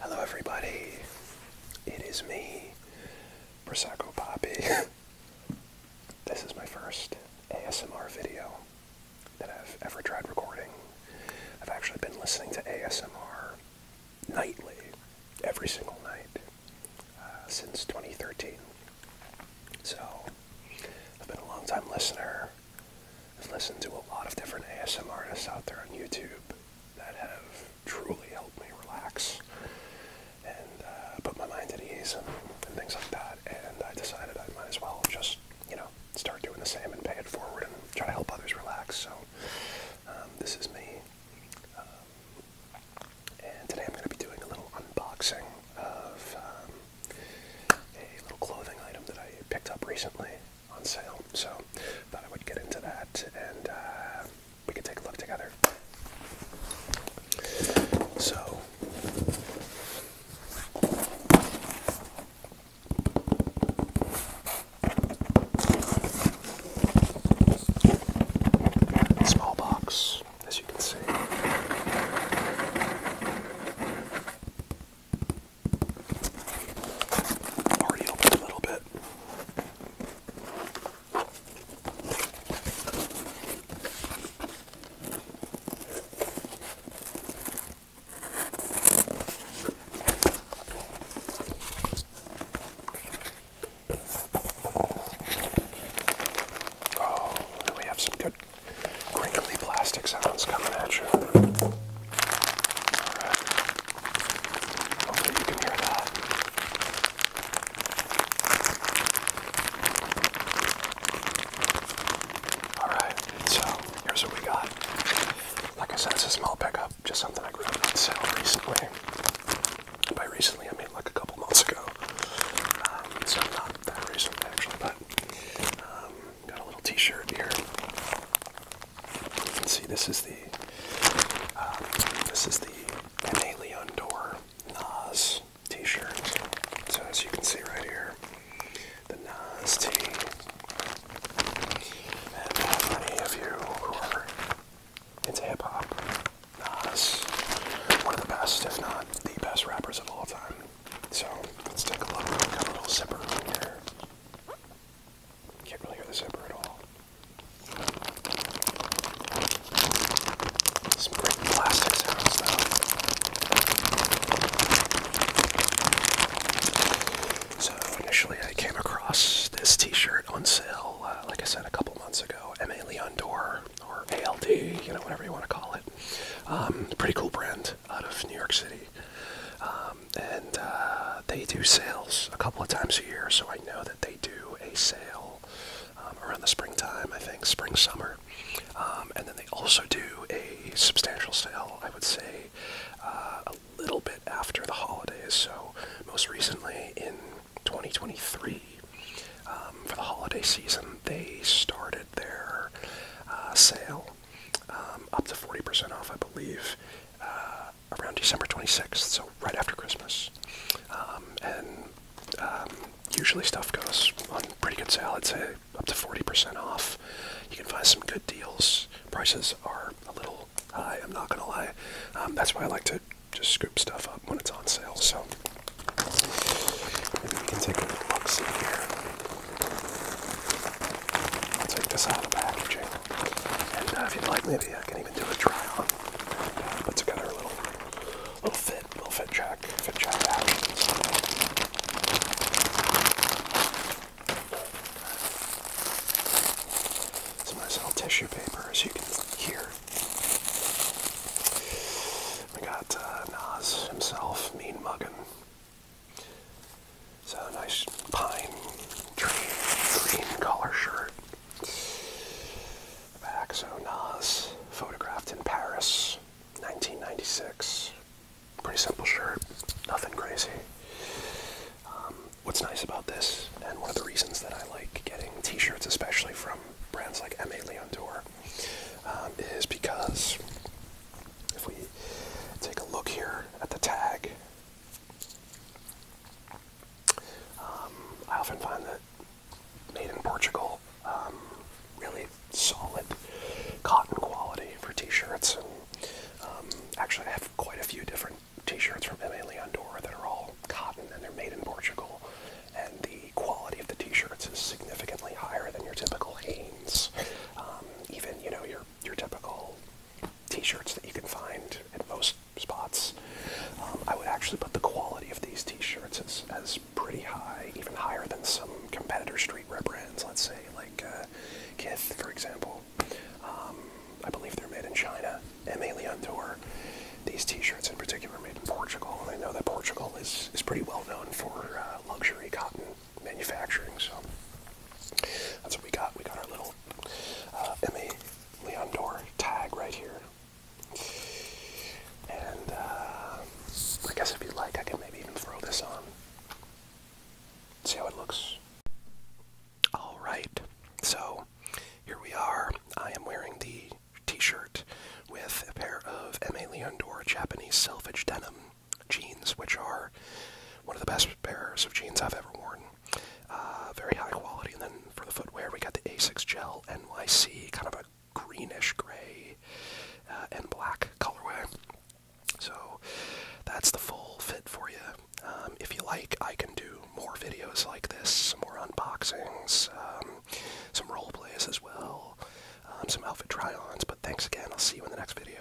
Hello, everybody. It is me, Prosecco Poppy. this is my first ASMR video that I've ever tried recording. I've actually been listening to ASMR nightly, every single night, uh, since 2013. So, I've been a long time listener. I've listened to a lot of different ASM artists out there on YouTube that have truly helped me relax and uh, put my mind at ease and, things like that. And I decided I might as well just, you know, start doing the same and pay it forward and try to help others relax. So um, this is me. Um, and today I'm going to be doing a little unboxing of um, a little clothing item that I picked up recently on sale. So thought I would get into that and uh, we can take a look together. So small box, as you can see. Already opened a little bit. Oh, we have some good crinkly plastic sounds coming at you. Alright. Hopefully you can hear that. Alright, so here's what we got. Like I said, it's a small pickup, just something I grew up on recently. By recently, I mean like a couple months ago. Um, so not that recent actually, but um, Got a little T-shirt here. You can see this is the um, this is the M.A. Leondor Nas T-shirt. So as you can see right here, the Nas T. And how uh, many of you who are into hip hop? Nas, one of the best, if not the best rappers of all time. So let's take a look. Got a little zipper on here. Can't really hear the zipper at all. Some great plastic sounds though. So initially I came across this t-shirt on sale, uh, like I said, a couple months ago. M.A. Leon Dor, or ALD, you know, whatever you want to call it. Um, pretty cool brand out of New York City. Um, and uh, they do sales a couple of times a year, so I know that they do a sale um, around the springtime, I think, spring, summer. Um, and then they also do a substantial sale, I would say, uh, a little bit after the holidays. So, most recently in 2023, um, for the holiday season, they started their uh, sale um, up to 40% off, I believe, uh, around December 26th, so right after Christmas. Um, and um, usually stuff goes on pretty good sale, I'd say up to 40% off. You can find some good deals. Prices are a little high, I'm not going to lie. that's why I like to just scoop stuff up when it's on sale. So maybe we can take a look see here. I'll take this out of the packaging. And uh, if you'd like, maybe I can even do a try on. Uh, Put together a little, little fit, little fit check, fit check out. Some nice little tissue paper, as you can hear. We got uh, Nas himself, Mean Muggin. So nice pine tree green collar shirt. Baxo Nas, photographed in Paris, 1996. Pretty simple shirt, nothing crazy. Um, what's nice about this, and one of the reasons that I like getting t-shirts, especially from brands like M.A. Leon um, is because if we take a look here at the tag, um, I often find that made in Portugal, um, really solid cotton quality for t-shirts. And um, actually, I have quite a few different t-shirts from M.A. Leondora that are all cotton and they're made in Portugal. And the quality of the t-shirts is significantly higher than your typical Hanes, um, even you know your your typical t-shirts that you can find at most spots. Um, I would actually put the quality of these t-shirts as, as pretty high, even higher than some competitor streetwear brands, let's say, like uh, Kith, for example. Um, I believe they're made in China and mainly on tour. These t-shirts in particular are made in Portugal, and I know that Portugal is, is pretty well known for uh, luxury cotton manufacturing. So that's what we got. We got our little uh, M.A. Leondor tag right here. And uh, I guess if you like, I can maybe even throw this on. See how it looks. Alright, so here we are. I am wearing the t shirt with a pair of M.A. Leondor Japanese selvage denim jeans, which are one of the best pairs of jeans I've ever worn. Uh, very high quality. And then for the footwear, we got the Asics Gel NYC, kind of a greenish gray uh, and black colorway. So that's the full fit for you. Um, if you like, I can do more videos like this, more unboxings, um, some role plays as well, um, some outfit try-ons. But thanks again. I'll see you in the next video.